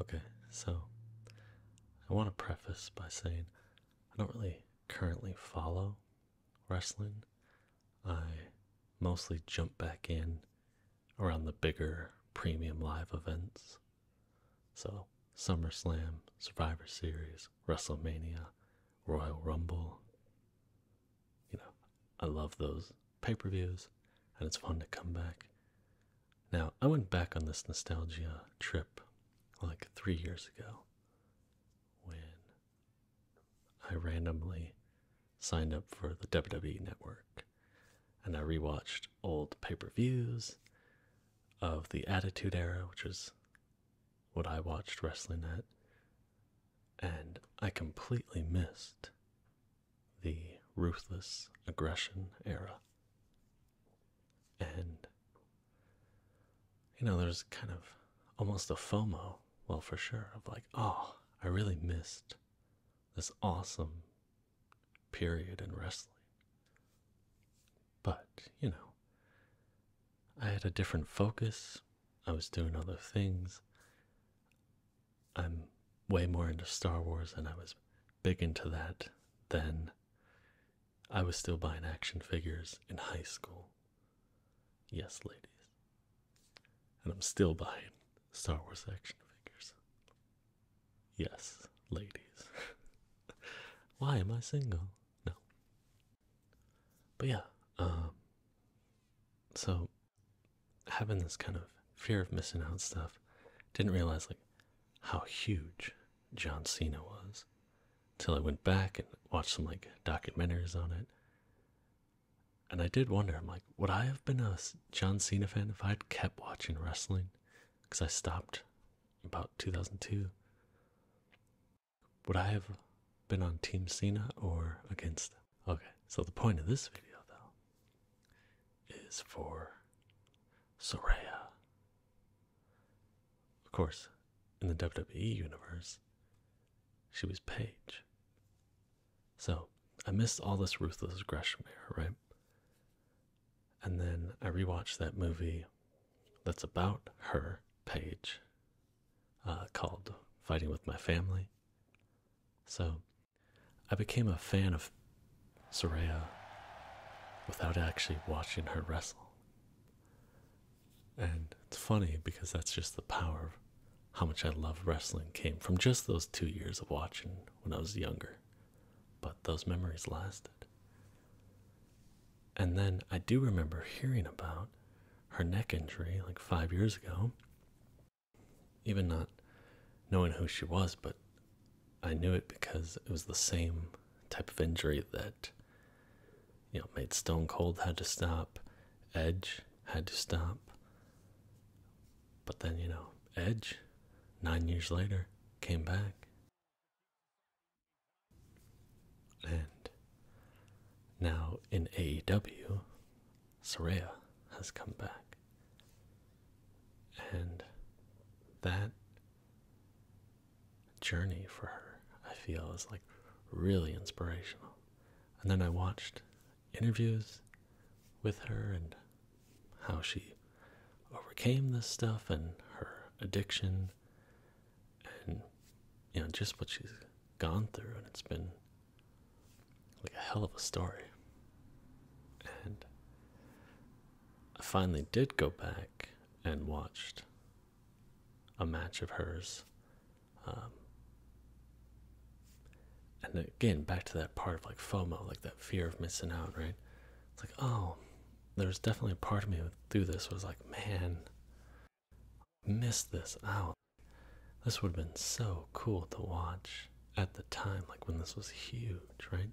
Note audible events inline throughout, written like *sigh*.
Okay, so I want to preface by saying I don't really currently follow wrestling. I mostly jump back in around the bigger premium live events. So, Summer Slam, Survivor Series, WrestleMania, Royal Rumble. You know, I love those pay per views, and it's fun to come back. Now, I went back on this nostalgia trip like three years ago when I randomly signed up for the WWE network and I rewatched old pay per views of the Attitude Era, which is what I watched wrestling at, and I completely missed the ruthless aggression era. And, you know, there's kind of almost a FOMO, well, for sure, of like, oh, I really missed this awesome period in wrestling. But, you know, I had a different focus, I was doing other things. I'm way more into Star Wars than I was big into that then. I was still buying action figures in high school. Yes, ladies. And I'm still buying Star Wars action figures. Yes, ladies. *laughs* Why am I single? No. But yeah, um, so having this kind of fear of missing out stuff, didn't realize like how huge John Cena was till I went back and watched some like documentaries on it. And I did wonder, I'm like, would I have been a John Cena fan if I'd kept watching wrestling? Because I stopped about 2002. Would I have been on Team Cena or against Okay, so the point of this video, though, is for Soraya. Of course, in the WWE universe, she was Paige. So I missed all this Ruthless Aggression era, right? And then I rewatched that movie that's about her, Paige, uh, called Fighting with My Family. So I became a fan of Soraya without actually watching her wrestle. And it's funny because that's just the power of how much I love wrestling came from just those two years of watching when I was younger. But those memories lasted. And then I do remember hearing about her neck injury like five years ago even not knowing who she was, but I knew it because it was the same type of injury that you know made Stone Cold had to stop, Edge had to stop. But then, you know, Edge, nine years later, came back. And now in AEW, Soraya has come back. And that journey for her, I feel, is like really inspirational. And then I watched interviews with her and how she overcame this stuff and her addiction and you know just what she's gone through and it's been like a hell of a story. And I finally did go back and watched a match of hers. Um, and again, back to that part of like FOMO, like that fear of missing out, right? It's like, oh, there was definitely a part of me through this was like, man, missed this out. This would have been so cool to watch at the time, like when this was huge, right?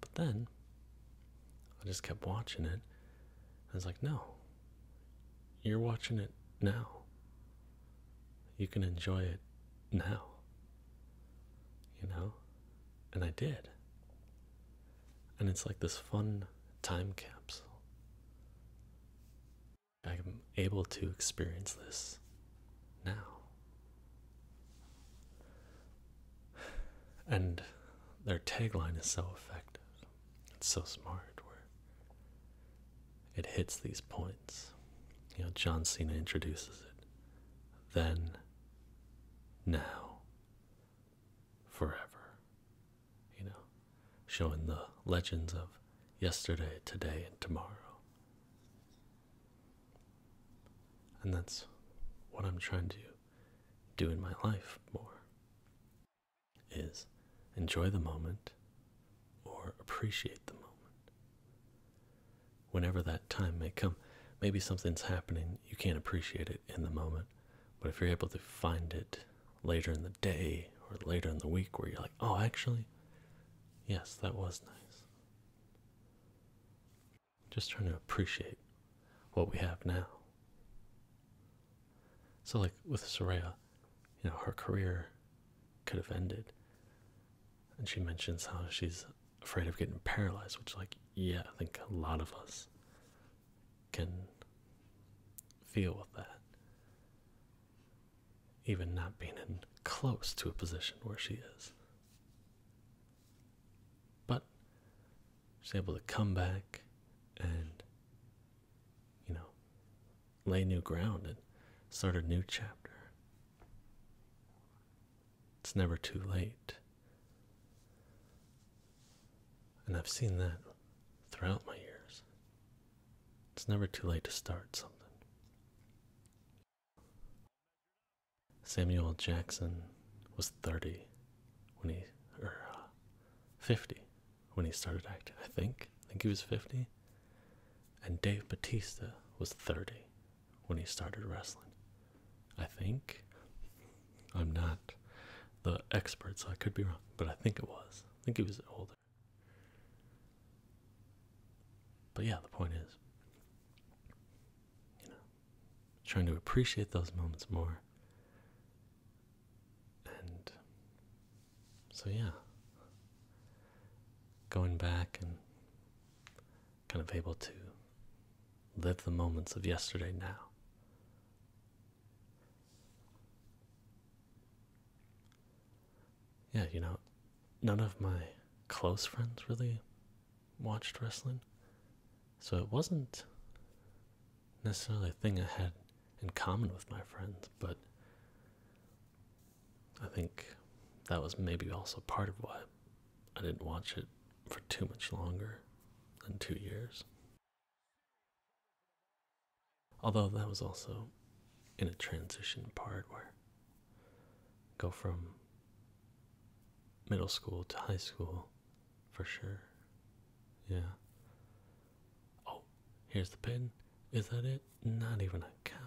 But then I just kept watching it. I was like, no, you're watching it now. You can enjoy it now. You know? And I did. And it's like this fun time capsule. I'm able to experience this now. And their tagline is so effective. It's so smart where it hits these points. You know, John Cena introduces it. Then, now, forever. You know, showing the legends of yesterday, today, and tomorrow. And that's what I'm trying to do in my life more is enjoy the moment or appreciate the moment. Whenever that time may come, maybe something's happening, you can't appreciate it in the moment, but if you're able to find it later in the day or later in the week where you're like, oh, actually, Yes, that was nice. Just trying to appreciate what we have now. So, like with Soraya, you know, her career could have ended. And she mentions how she's afraid of getting paralyzed, which, like, yeah, I think a lot of us can feel with that even not being in close to a position where she is. But she's able to come back and, you know, lay new ground and start a new chapter. It's never too late. And I've seen that throughout my years. It's never too late to start something. Samuel Jackson was 30 when he, or uh, 50 when he started acting, I think. I think he was 50. And Dave Batista was 30 when he started wrestling. I think. I'm not the expert, so I could be wrong, but I think it was. I think he was older. But yeah, the point is, you know, trying to appreciate those moments more. And so, yeah, going back and kind of able to live the moments of yesterday now yeah, you know, none of my close friends really watched wrestling. So it wasn't necessarily a thing I had in common with my friends, but I think that was maybe also part of why I didn't watch it for too much longer than two years. Although that was also in a transition part where go from middle school to high school for sure. Yeah. Oh, here's the pin. Is that it? Not even a count.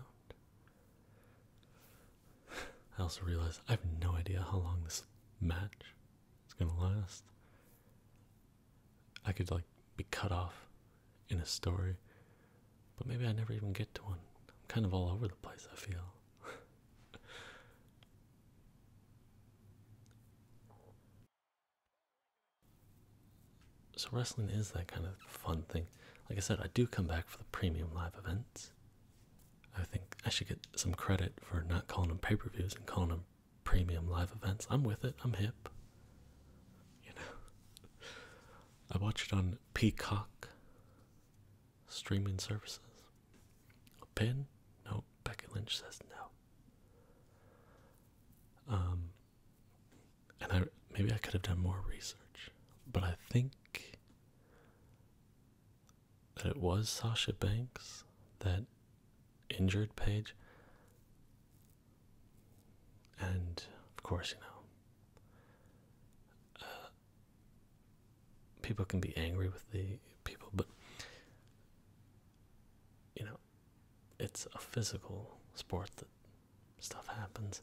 I also realize I have no idea how long this match is gonna last. I could like be cut off in a story, but maybe I never even get to one. I'm kind of all over the place, I feel. *laughs* so, wrestling is that kind of fun thing. Like I said, I do come back for the premium live events. I think I should get some credit for not calling them pay per views and calling them premium live events. I'm with it, I'm hip. You know, *laughs* I watched it on Peacock streaming services. A pin? No. Becky Lynch says no. Um, and I maybe I could have done more research, but I think that it was Sasha Banks that injured Paige. And of course, you know, uh, people can be angry with the people, but you know, it's a physical sport that stuff happens.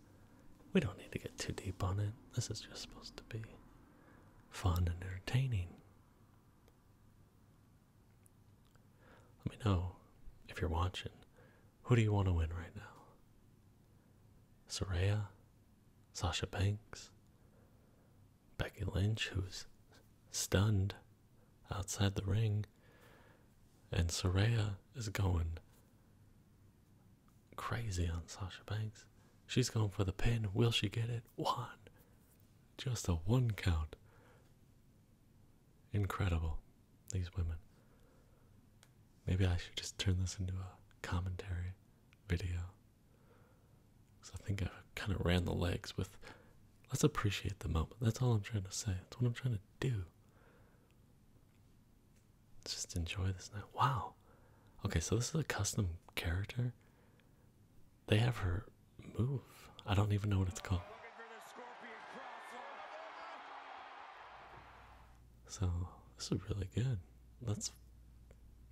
We don't need to get too deep on it. This is just supposed to be fun and entertaining. Let me know if you're watching. Who do you want to win right now? Soraya, Sasha Banks, Becky Lynch, who's stunned outside the ring, and Soraya is going crazy on Sasha Banks. She's going for the pin. Will she get it? One. Just a one count. Incredible these women. Maybe I should just turn this into a commentary video. Because I think I kind of ran the legs with let's appreciate the moment. That's all I'm trying to say. That's what I'm trying to do. just enjoy this now. Wow. Okay, so this is a custom character. They have her move. I don't even know what it's called. So this is really good. That's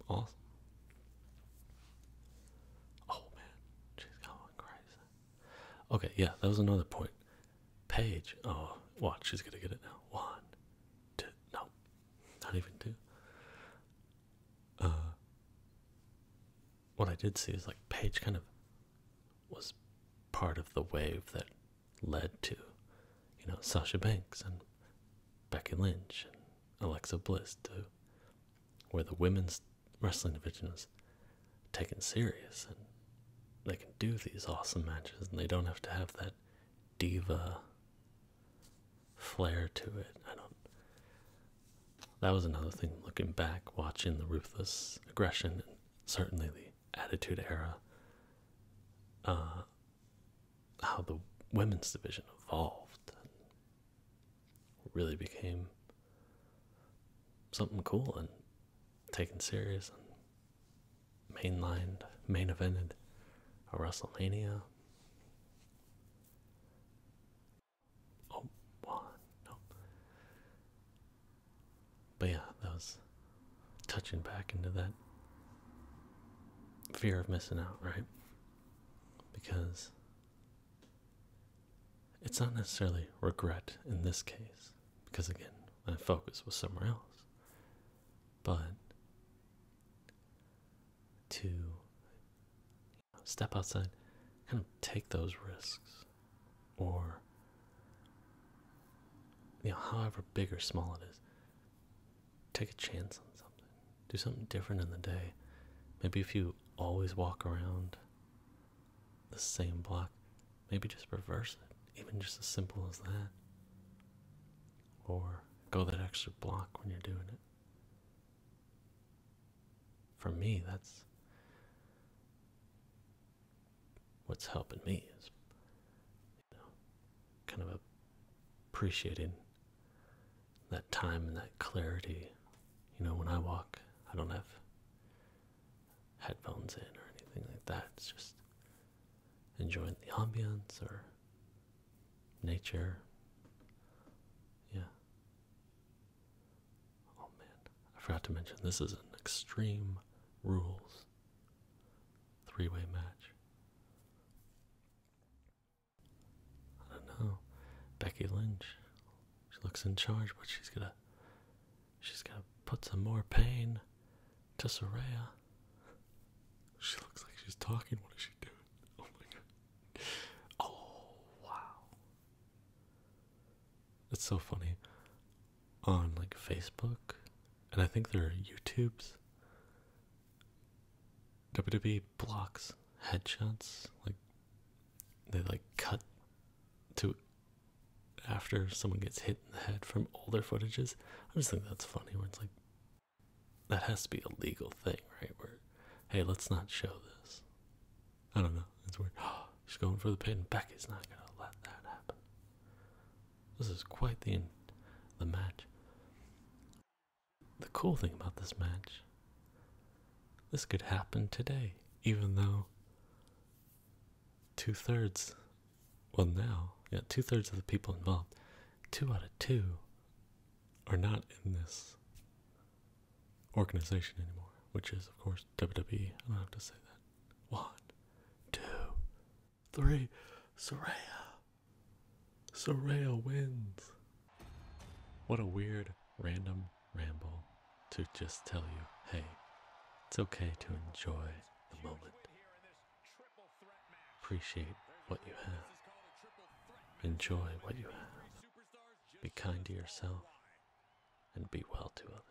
awesome. Oh man, she's going crazy. Okay, yeah, that was another point. Page, oh, watch, she's gonna get it now. One, two, no, not even two. Uh, what I did see is like Page kind of was part of the wave that led to, you know, Sasha Banks and Becky Lynch and Alexa Bliss to where the women's wrestling division is taken serious and they can do these awesome matches and they don't have to have that diva flair to it. I don't. That was another thing looking back, watching the Ruthless Aggression and certainly the Attitude Era uh, how the women's division evolved and really became something cool and taken serious and mainlined, main evented a WrestleMania. Oh, one, no. But yeah, that was touching back into that fear of missing out, right? Because it's not necessarily regret in this case, because again, my focus was somewhere else. But to step outside, kind of take those risks, or you know, however big or small it is, take a chance on something. Do something different in the day. Maybe if you always walk around the same block, maybe just reverse it. Even just as simple as that. Or go that extra block when you're doing it. For me, that's what's helping me is kind of appreciating that time and that clarity. You know, when I walk, I don't have headphones in or anything like that. It's just enjoying the ambience or nature. Yeah. Oh man, I forgot to mention this is an extreme rules three way match. I don't know. Becky Lynch. She looks in charge, but she's gonna she's gonna put some more pain to Soraya. She looks like she's talking. What is she doing? Oh my god. Oh wow. It's so funny on like Facebook and I think there are YouTube's. WWE blocks headshots like they like cut to after someone gets hit in the head from older footages. I just think that's funny where it's like that has to be a legal thing, right? Where hey, let's not show this. I don't know. It's weird. *gasps* She's going for the pin. Becky's not gonna let that happen. This is quite the the match. The cool thing about this match, this could happen today, even though two thirds, well now, yeah, two thirds of the people involved, two out of two, are not in this organization anymore, which is of course WWE. I don't have to say that. One, two, three. Soraya. Soraya wins. What a weird, random ramble to just tell you hey, it's okay to enjoy the moment. Appreciate what you have. Enjoy what you have. Be kind to yourself and be well to others.